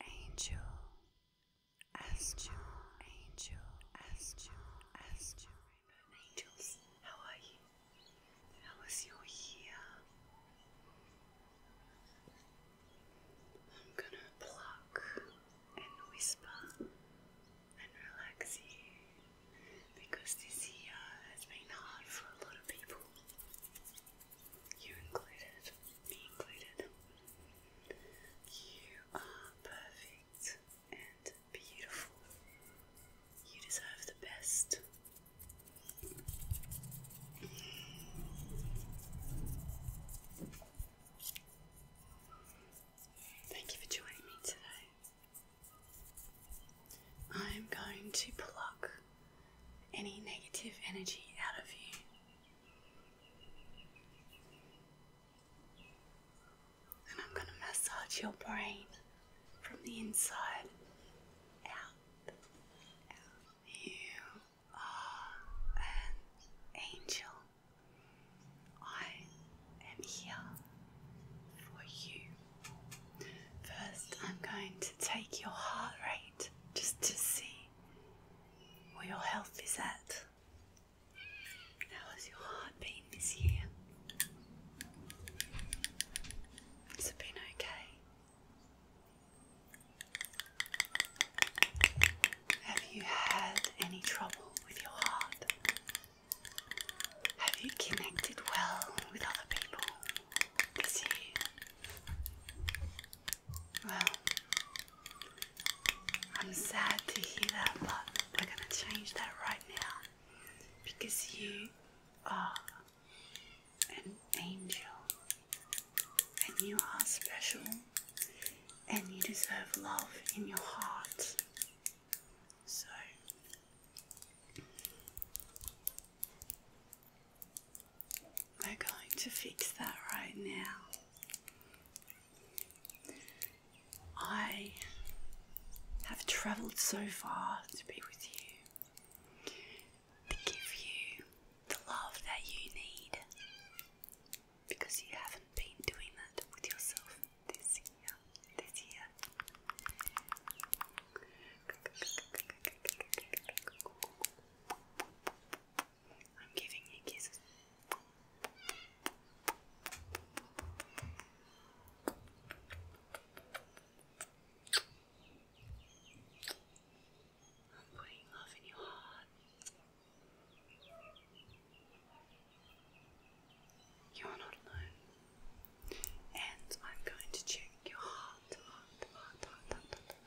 Angel, Astro, Angel, Astro, Astro, Angels, how are you? How was your year? I'm gonna pluck and whisper and relax you because this year has been hard for a lot of people you included, me included. You are perfect and beautiful. You deserve the best. Thank you for joining me today. I am going to pluck any negative energy out of you and I'm going to massage your brain from the inside out. You are an angel. I am here for you. First, I'm going to take your heart rate just to see where your health is at. How has your heart been this year? Has it been okay? Have you had any trouble with your heart? Have you connected well with other people this year? Well, I'm sad to hear that, but we're gonna change that right now because you are an angel and you are special and you deserve love in your heart. So, we're going to fix that right now. I have travelled so far to be with you, to give you the love that you need, because you haven't been doing that with yourself this year. This year. I'm giving you kisses. I'm putting love in your heart. You are not alone. And I'm going to check your heart,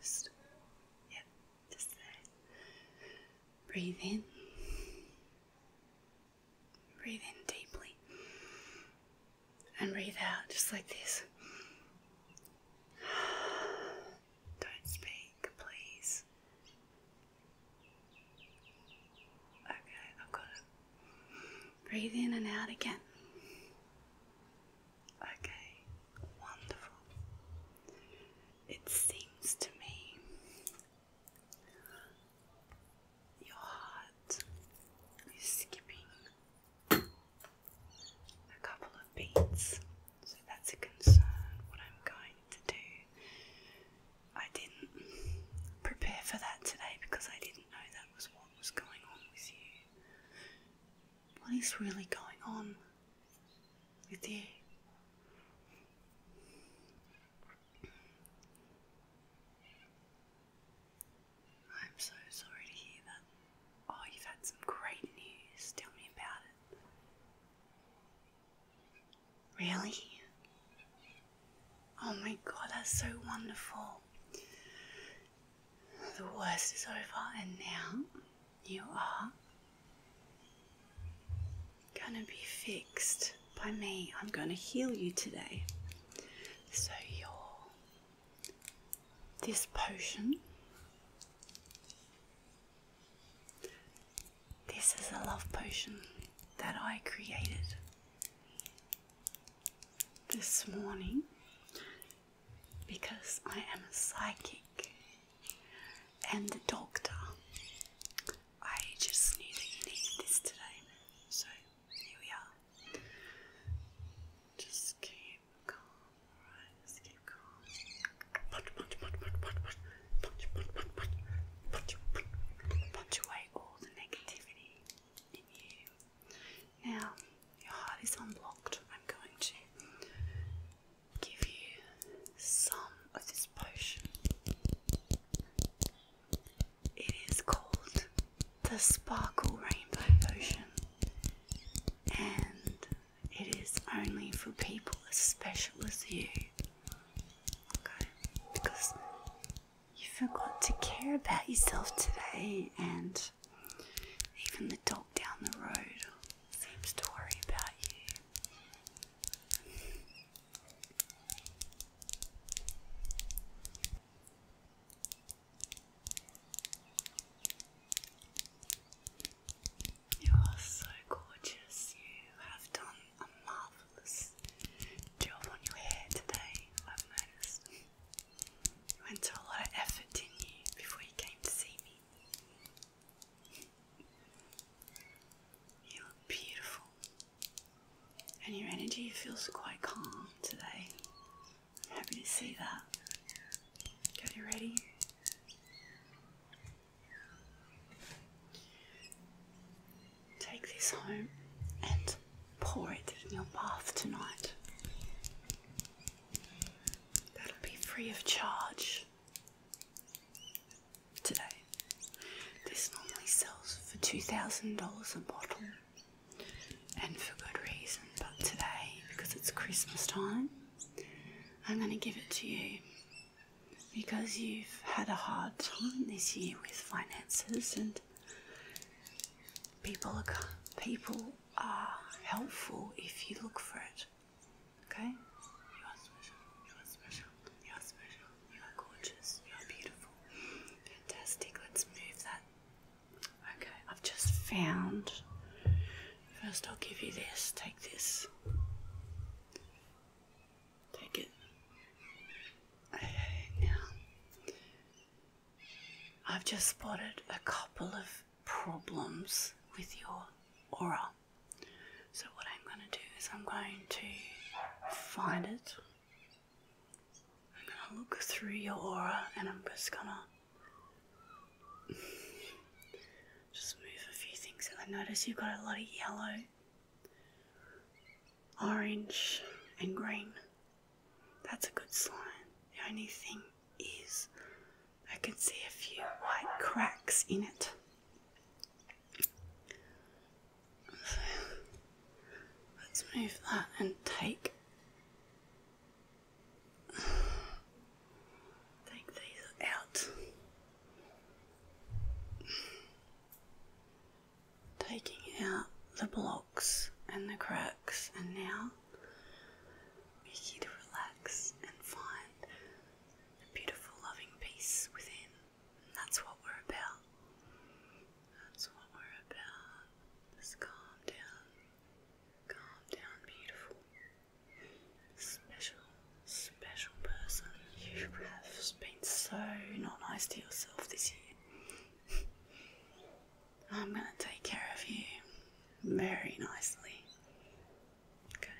just yeah, just there. Breathe in. Breathe in deeply. And breathe out just like this. Don't speak, please. Okay, i got it, Breathe in and out again. Okay, wonderful. It seems to me your heart is skipping a couple of beats, so that's a concern. What I'm going to do, I didn't prepare for that today because I didn't know that was on was going on with you. What is really going on with you? I'm so sorry to hear that. Oh, you've had some great news. Tell me about it. Really? Oh my god, that's so wonderful. The worst is over, and now you are gonna be fixed by me. I'm gonna heal you today. So, your this potion. This is a love potion that I created this morning because I am a psychic and a doctor. I just knew that you needed this today, so here we are. Just keep calm, Just keep calm. punch, punch, punch, punch, punch, punch, punch, punch, punch, punch away all the negativity. Now, your heart is unlocked. I'm going to give you some of this potion. It is called the Sparkle Rainbow Potion, and it is only for people as special as you. Okay? Because you forgot to care about yourself today, and even the dog down the road seems to worry about you. You are so gorgeous. You have done a marvelous flowers. on your hair today? I've noticed. You went to a lot of effort, did you, before you came to see me? You look beautiful. And your energy feels quite calm today. I'm happy to see that. Got you ready? Take this home and pour it in your bath tonight. That'll be free of charge today. This normally sells for $2,000 a bottle and for good reason, but today, because it's Christmas time, I'm going to give it to you because you've had a hard time this year with finances and people are, people are helpful if you look for it. Okay? You are special. You are special. You are special. You are gorgeous. You are beautiful. Fantastic. Let's move that. Okay, I've just found. First, I'll give you this. Take this. Take it. Okay, now I've just spotted a couple of problems with your aura. So, what I'm going to do is, I'm going to find it. I'm going to look through your aura and I'm just going to just move a few things. And I notice you've got a lot of yellow Orange and green. That's a good sign. The only thing is, I can see a few white cracks in it. let's move that and take take these out taking out the blocks and the cracks, and now we're to relax and find the beautiful, loving peace within. And that's what we're about. That's what we're about. Just calm down, calm down, beautiful, special, special person. You have been so not nice to yourself this year. I'm gonna take care of you very nicely. Okay.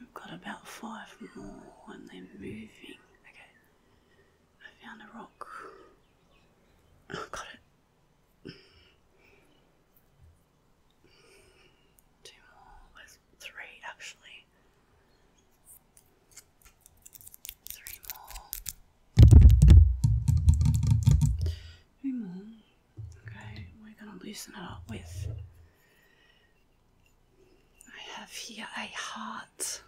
We've got about five more and they're moving. Okay. I found a rock. Oh, got it. Two more. There's three actually. Three more. Three more. Okay, we're gonna loosen it up with. I have here a heart.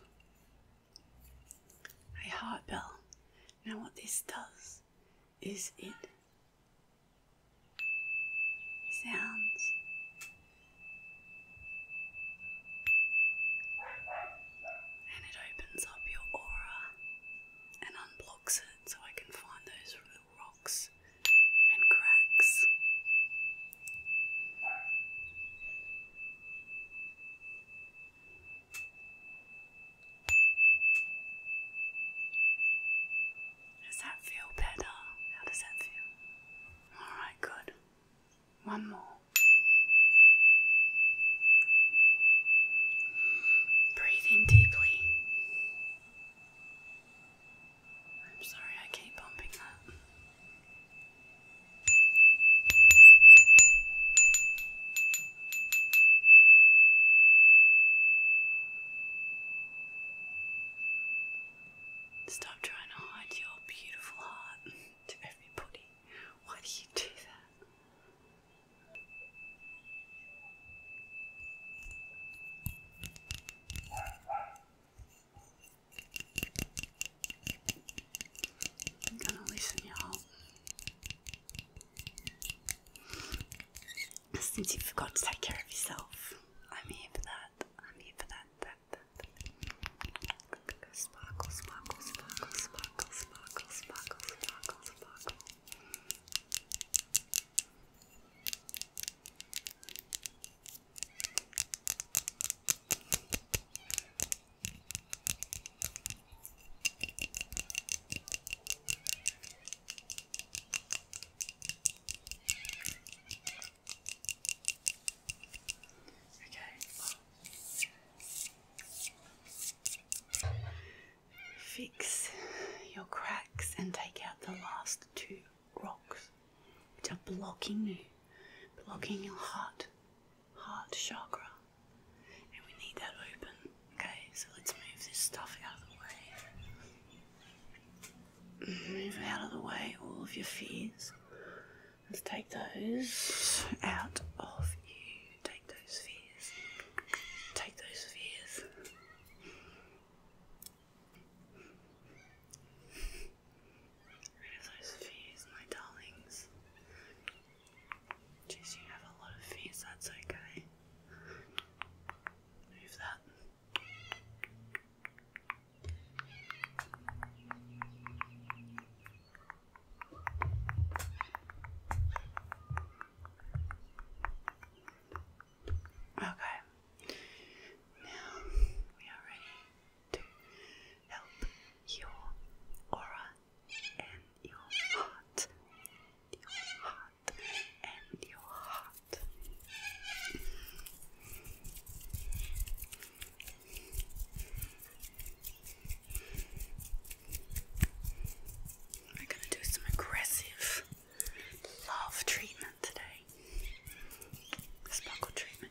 A heart bell. Now, what this does is it sounds. And it opens up your aura and unblocks it so I can find those little rocks and cracks. Does that feel better? How does that feel? Alright, good. One more. Breathe in deeply. I'm sorry I keep bumping that. Stop trying to hide your beautiful heart to everybody. Why do you do that? I'm gonna listen you since you forgot to take care of yourself, I'm here for that. I'm here for that. that, that, that. sparkle, sparkle, sparkle, sparkle, sparkle, sparkle, sparkle. Sparkle, Okay. Fix your cracks and take out the last two rocks which are blocking you, blocking your heart, heart chakra. And we need that open. Okay, so let's move this stuff out of the way. Move out of the way all of your fears. Let's take those out of you. Take those fears. Take those fears. Rid of those fears, my darlings. Jeez, you have a lot of fears, that's okay. Move that. Okay, now we are ready to help your aura and your heart. Your heart and your heart. We're gonna do some aggressive love treatment today. Sparkle treatment.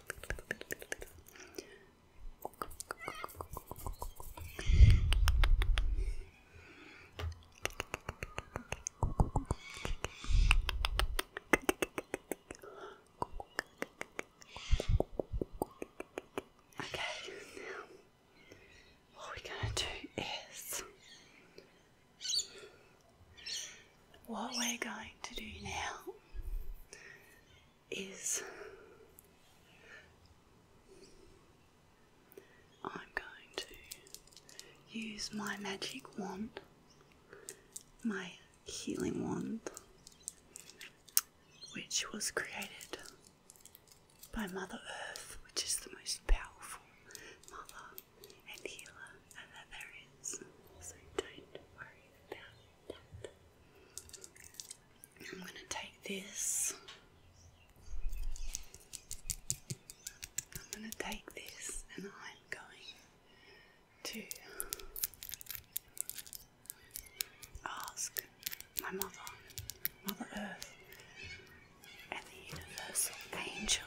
Okay, now what we're going to do is what we're going to do now is I'm going to use my magic wand, my healing wand, which was created by Mother Earth, which is the most powerful mother and healer and that there is. So don't worry I'm gonna take this. I'm gonna take this and I'm going to ask my mother, Mother Earth, and the Universal Angel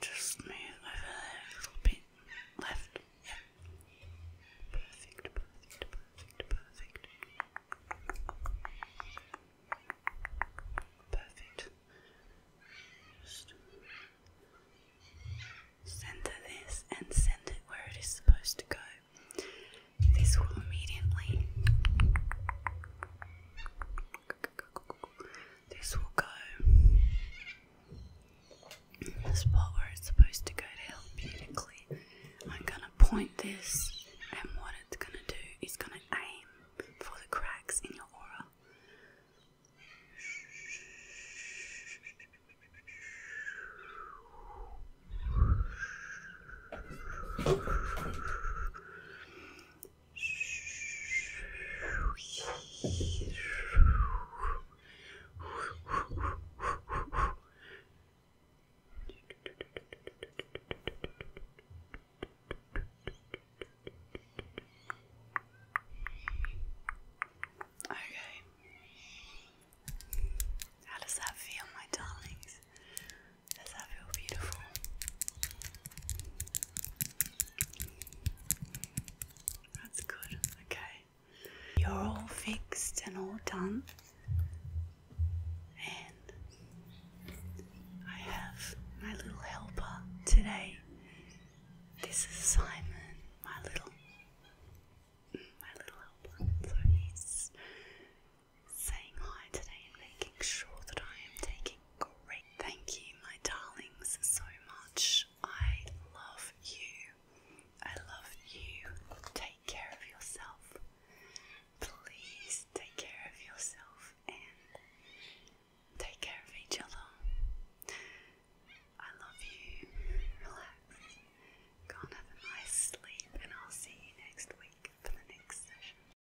Just move over there a little bit. Left. Yep. Perfect, perfect, perfect, perfect. Perfect. Just center this and send it where it is supposed to go. This will immediately this will go in the where it's supposed to go to help beautifully. I'm gonna point this, and what it's gonna do is gonna aim for the cracks in your aura. Okay. How does that feel, my darlings? Does that feel beautiful? That's good, okay. You're all fixed and all done, and I have my little helper today. This is Simon, my little, my little helper. So he's saying hi today and making sure that I am taking great. Thank you, my darlings, so much. I love you. I love you. Take care of yourself. Please take care of yourself and take care of each other. I love you. Relax. Go and have a nice sleep, and I'll see you next week for the next session.